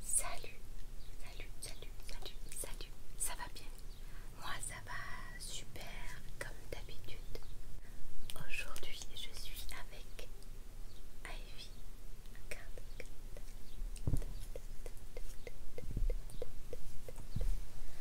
Salut, salut, salut, salut, salut, ça va bien Moi ça va super comme d'habitude. Aujourd'hui je suis avec Ivy.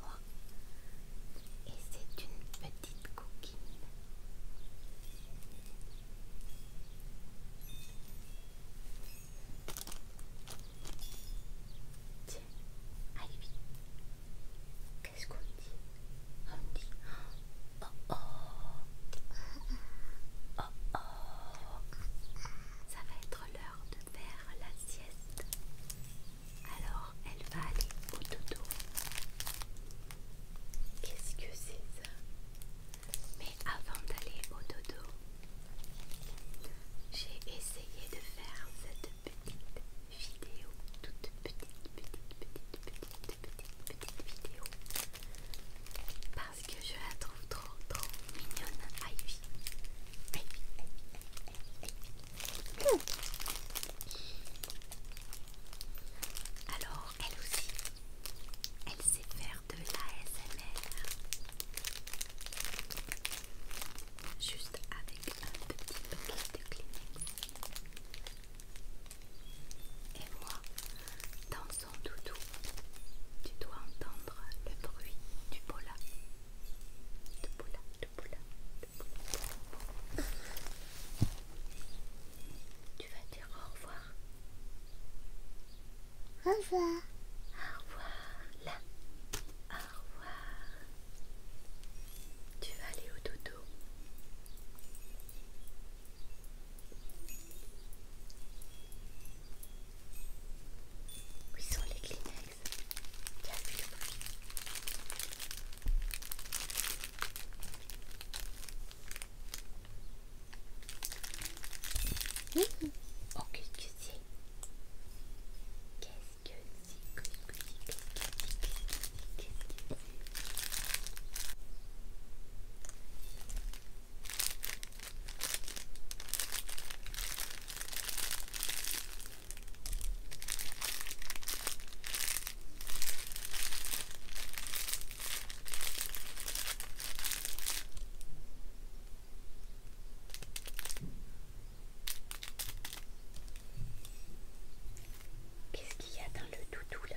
mois et c'est une petite coquine. Tiens, allez Qu'est-ce qu'on dit On dit oh oh oh oh. Ça va être l'heure de faire la sieste. Alors elle va aller au dodo. Qu'est-ce que c'est ça Mais avant d'aller au dodo, j'ai essayé de faire cette petite vidéo, toute petite, petite, petite, petite, petite, petite vidéo. Parce que je la trouve trop, trop mignonne, Ivy. Alors, elle aussi, elle sait faire de l'ASMR. Juste avec un petit bouquet de Kleenex. Et moi, dans son doudou, tu dois entendre le bruit du pola. Tu vas dire au revoir. Au revoir. Au revoir. Au revoir. Tu vas aller au dodo. Où sont les Kleenex que Qu'est-ce que c'est oh, Qu'est-ce que c'est Qu'est-ce qu'il y a dans le doudou là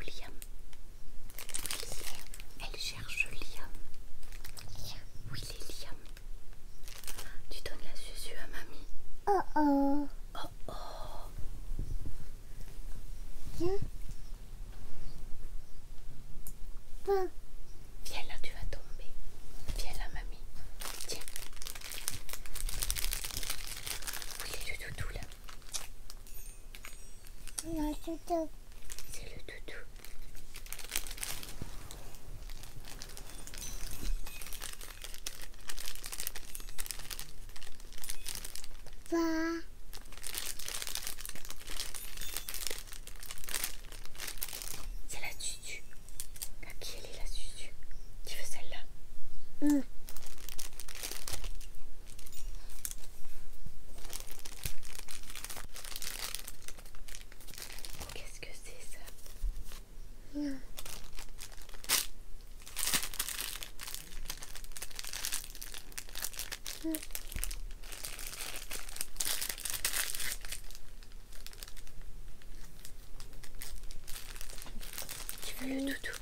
Liam. elle cherche Liam. Oui, les Liam. Tu donnes la susu à mamie. Oh oh. Oh oh. Viens. Viens. là, tu vas tomber. Viens là, mamie. Tiens. Oui, le doudou là. C'est le toutou. C'est la tutu. À qui elle est la tutu Tu veux celle-là hmm. Qu'est-ce que c'est ça Tu veux le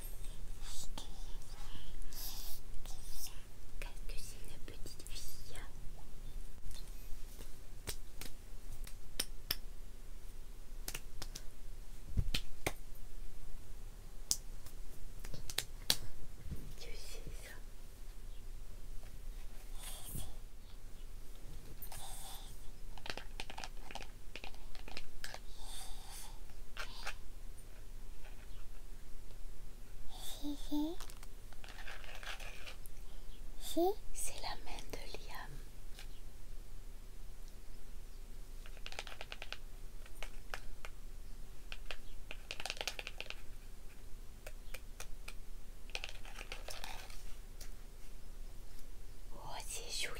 Qu'est-ce que c'est une petite fille Tu ça c'est la main de Liam. Oh, c'est joli.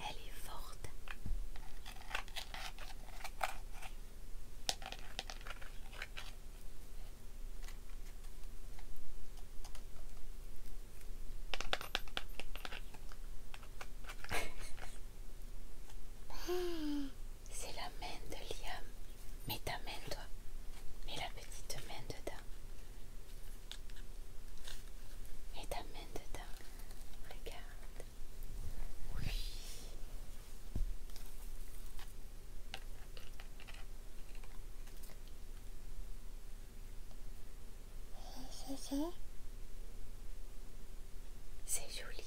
Elle est forte. C'est la main de Liam. Mets ta main, toi. Mets la petite main dedans. Mets ta main dedans. Regarde. Oui. C'est, c'est joli.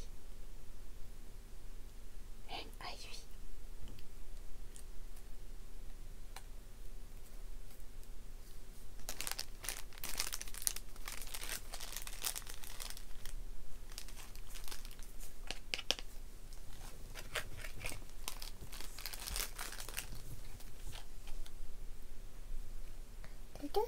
Ok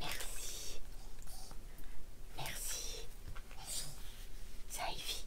Merci. Merci. Ça y est.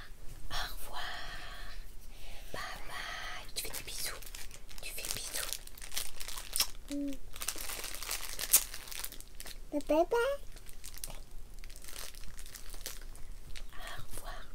au revoir, Papa tu fais des bisous, tu fais des bisous. Papa Au revoir.